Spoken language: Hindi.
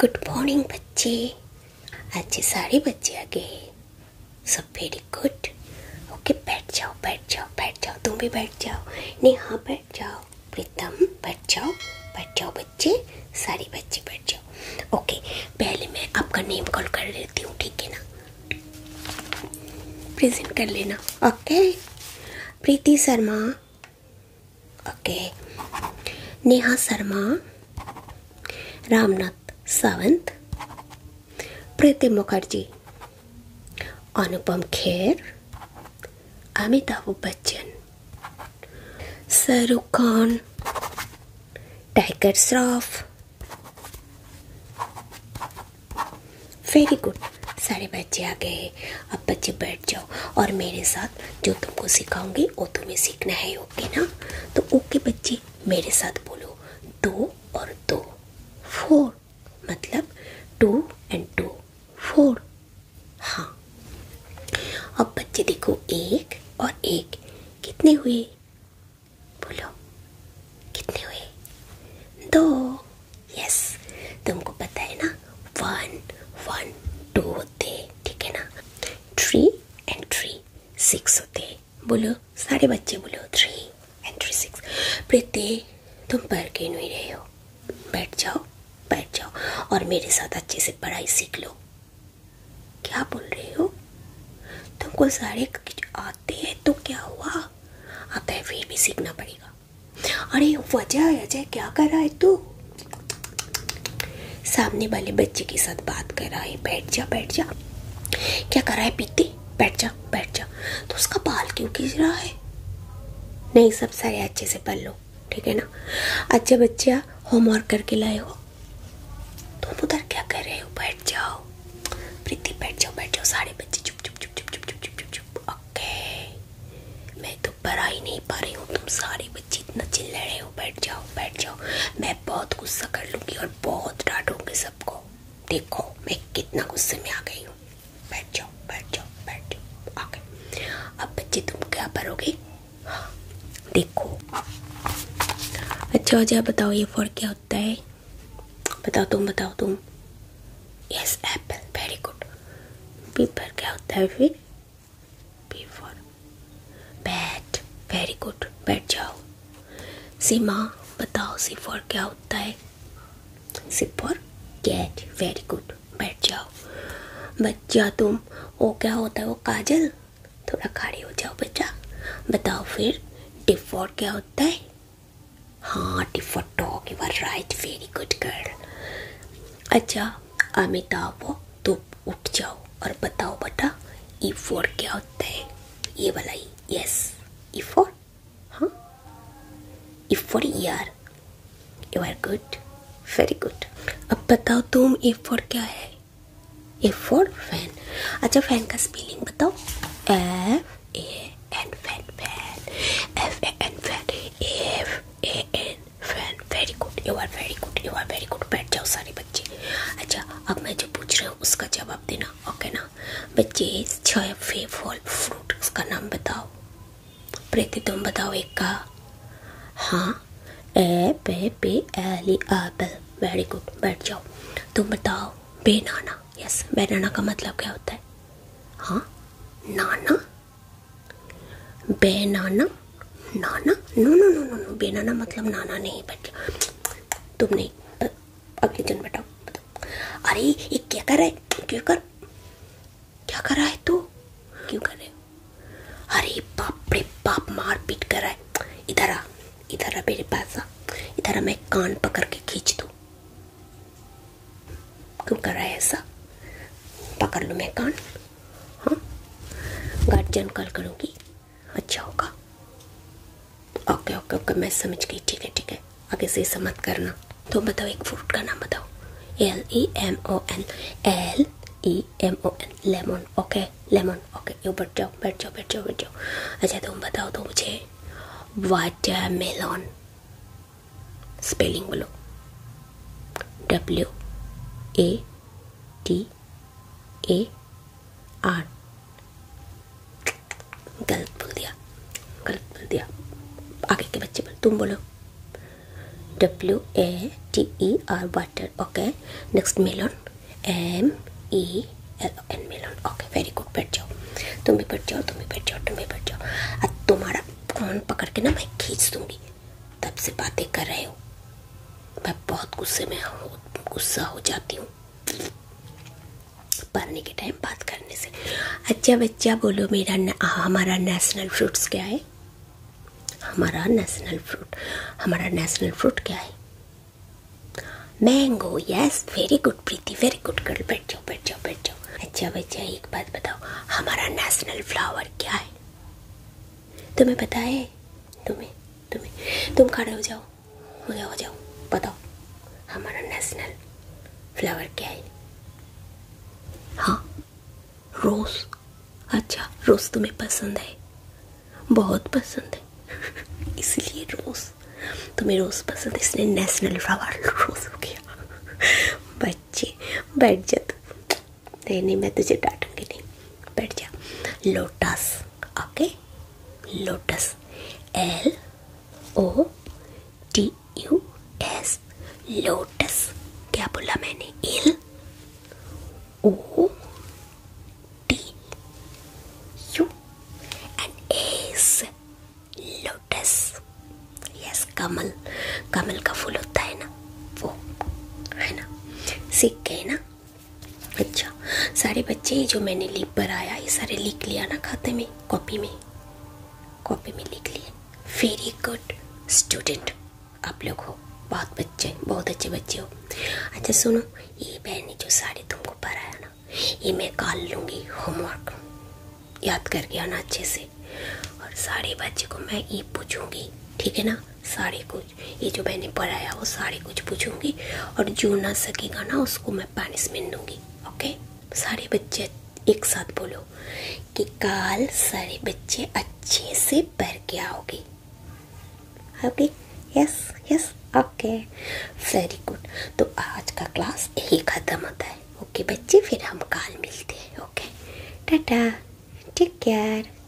गुड मॉर्निंग बच्चे अच्छे सारे बच्चे आ गए सब वेरी गुड ओके बैठ जाओ बैठ जाओ बैठ जाओ तुम भी बैठ जाओ नहीं हाँ बैठ जाओ प्रीतम बैठ जाओ बैठ जाओ बच्चे सारे बच्चे बैठ जाओ ओके पहले मैं आपका नेम कॉल कर लेती हूँ ठीक है ना प्रेजेंट कर लेना okay Preeti Sharma okay Neha Sharma Ramnath Sawant Preeti Mukherjee Anupam Kher Amitabh Bachchan Shahrukh Khan Tiger Shroff very good सारे बच्चे आ गए अब बच्चे बैठ जाओ और मेरे साथ जो तुमको सिखाऊंगी वो तुम्हें सीखना है ओके ना तो ओके बच्चे मेरे साथ बोलो दो और दो फोर मतलब टू एंड टू फोर हाँ अब बच्चे देखो एक और एक कितने हुए बोलो कितने हुए दो यस तुमको पता है ना वन वन टू होते ठीक है ना थ्री एंड थ्री सिक्स होते बोलो सारे बच्चे बोलो three and three six Preeti तुम पढ़ के नहीं रहे हो बैठ जाओ बैठ जाओ और मेरे साथ अच्छे से पढ़ाई सीख लो क्या बोल रहे हो तुमको सारे आते हैं तो क्या हुआ आता तो है फिर भी सीखना पड़ेगा अरे वजह अजय क्या कर रहा है तू सामने वाले बच्चे के साथ बात कर रहा है बैठ जा बैठ जा क्या कर रहा है पीती बैठ जा बैठ जा तो उसका बाल क्यों खींच रहा है नहीं सब सारे अच्छे से पढ़ लो ठीक है ना अच्छा बच्चा होमवर्क करके लाए हो तुम उधर क्या कर रहे हो बैठ जाओ प्रीति बैठ जाओ बैठ जाओ सारे बच्चे चुप चुप चुप चुप चुप चुप चुप चुप चुप ओके मैं तो पढ़ा ही नहीं पा रही हूँ तुम सारे बच्चे इतना चिल्ला रहे हो बैठ जाओ बैठ जाओ मैं बहुत गुस्सा कर लूँगी और बहुत डांटूंगी सबको देखो मैं कितना गुस्से में आ गई हूँ बैठ जाओ बैठ जाओ बैठ जाओ ओके अब बच्चे तुम क्या पढ़ोगे हाँ देखो अच्छा अच्छा बताओ ये फॉर क्या होता है बताओ तुम बताओ तुम yes apple very good B क्या होता है फिर बी बैट वेरी गुड बैठ जाओ सीमा बताओ सी फॉर क्या होता है सी कैट वेरी गुड बैठ जाओ बच्चा तुम वो क्या होता है वो काजल थोड़ा खड़े हो जाओ बेटा बताओ फिर डिफॉल्ट क्या होता है हाँ default talk you are right very good girl अच्छा अमिताभ हो तो उठ जाओ और बताओ बेटा ई e फोर क्या होता है ये वाला ही यस ई फोर हाँ ई फोर यार you are good very good अब बताओ तुम ई e फोर क्या है ए फॉर फैन अच्छा फैन का स्पेलिंग बताओ F A N fan fan F A N fan F A N fan very good you are very good you are very good बैठ जाओ सारे बच्चे अच्छा अब मैं जो पूछ रहा हूँ उसका जवाब देना ओके ना बच्चे छः फे फ्रूट उसका नाम बताओ प्रीति तुम बताओ एक का हाँ ए पे पे एली एप्पल वेरी गुड बैठ जाओ तुम बताओ बेनाना यस बेनाना का मतलब क्या होता है हाँ नाना बेनाना नाना no no no no no banana मतलब नाना नहीं बैठ जाओ तुम नहीं अगले जन बैठाओ अरे ये क्या कर रहा है क्या कर क्या कर रहा है तू क्यों कर रहे हो अरे बाप रे बाप मार पीट कर रहा है इधर आ इधर आ मेरे पास आ इधर आ मैं कान पकड़ के खींच दू क्यों कर रहा है ऐसा पकड़ लू मैं कान हाँ गार्जियन कॉल करूँगी अच्छा होगा ओके ओके ओके मैं समझ गई ठीक है ठीक है आगे से ऐसा मत करना तो बताओ एक फ्रूट का नाम बताओ L E M O N L E M O N lemon okay lemon okay you बैठ जाओ बैठ जाओ बैठ जाओ बैठ जाओ अच्छा तुम बताओ तो मुझे वाटरमेलन स्पेलिंग बोलो W A T A R गलत बोल दिया दिया गलत बोल दिया आगे के बच्चे बोल तुम बोलो W A T E R water okay next melon M E L N melon okay very good बैठ जाओ तुम भी बैठ जाओ तुम भी बैठ जाओ तुम भी बैठ जाओ अब तुम्हारा कौन पकड़ के ना मैं खींच दूंगी तब से बातें कर रहे हो मैं बहुत गुस्से में हूँ गुस्सा हो जाती हूँ पढ़ने के टाइम बात करने से अच्छा बच्चा बोलो मेरा न, हमारा नेशनल फ्रूट्स क्या है हमारा नेशनल फ्रूट हमारा नेशनल फ्रूट क्या है mango yes very good Preeti very good girl बैठ जाओ बैठ जाओ बैठ जाओ अच्छा बच्चा एक बात बताओ हमारा नेशनल फ्लावर क्या है तुम्हें पता है तुम्हें तुम्हें तुम खड़े हो जाओ मुझे हो जाओ बताओ हमारा नेशनल फ्लावर क्या है हाँ रोज़ अच्छा रोज़ तुम्हें पसंद है बहुत पसंद है इसलिए रोज़ तुम्हें रोज़ पसंद है इसलिए नेशनल फ्लावर रोज़ हो गया बच्चे बैठ जा तू नहीं नहीं मैं तुझे डांटूंगी नहीं बैठ जा lotus okay lotus L O T U S lotus क्या बोला मैंने L O T U and S lotus yes कमल कमल का फूल होता है ना वो है ना सीख गए ना अच्छा सारे बच्चे जो मैंने लिख पर आया ये सारे लिख लिया ना खाते में कॉपी में कॉपी में लिख लिए वेरी गुड स्टूडेंट आप लोग हो बहुत बच्चे बहुत अच्छे बच्चे हो अच्छा सुनो ये बहन जो साड़ी तुमको पढ़ाया ना ये मैं काल लूँगी होमवर्क याद करके आना अच्छे से और सारे बच्चे को मैं ये पूछूंगी ठीक है ना सारे कुछ ये जो मैंने पढ़ाया वो सारे कुछ पूछूंगी और जो ना सकेगा ना उसको मैं पानिशमेंट दूंगी ओके सारे बच्चे एक साथ बोलो कि काल सारे बच्चे अच्छे से पढ़ के आओगे okay yes yes okay very good तो आज का क्लास यही ख़त्म होता है ओके बच्चे फिर हम काल मिलते हैं ओके टाटा टेक केयर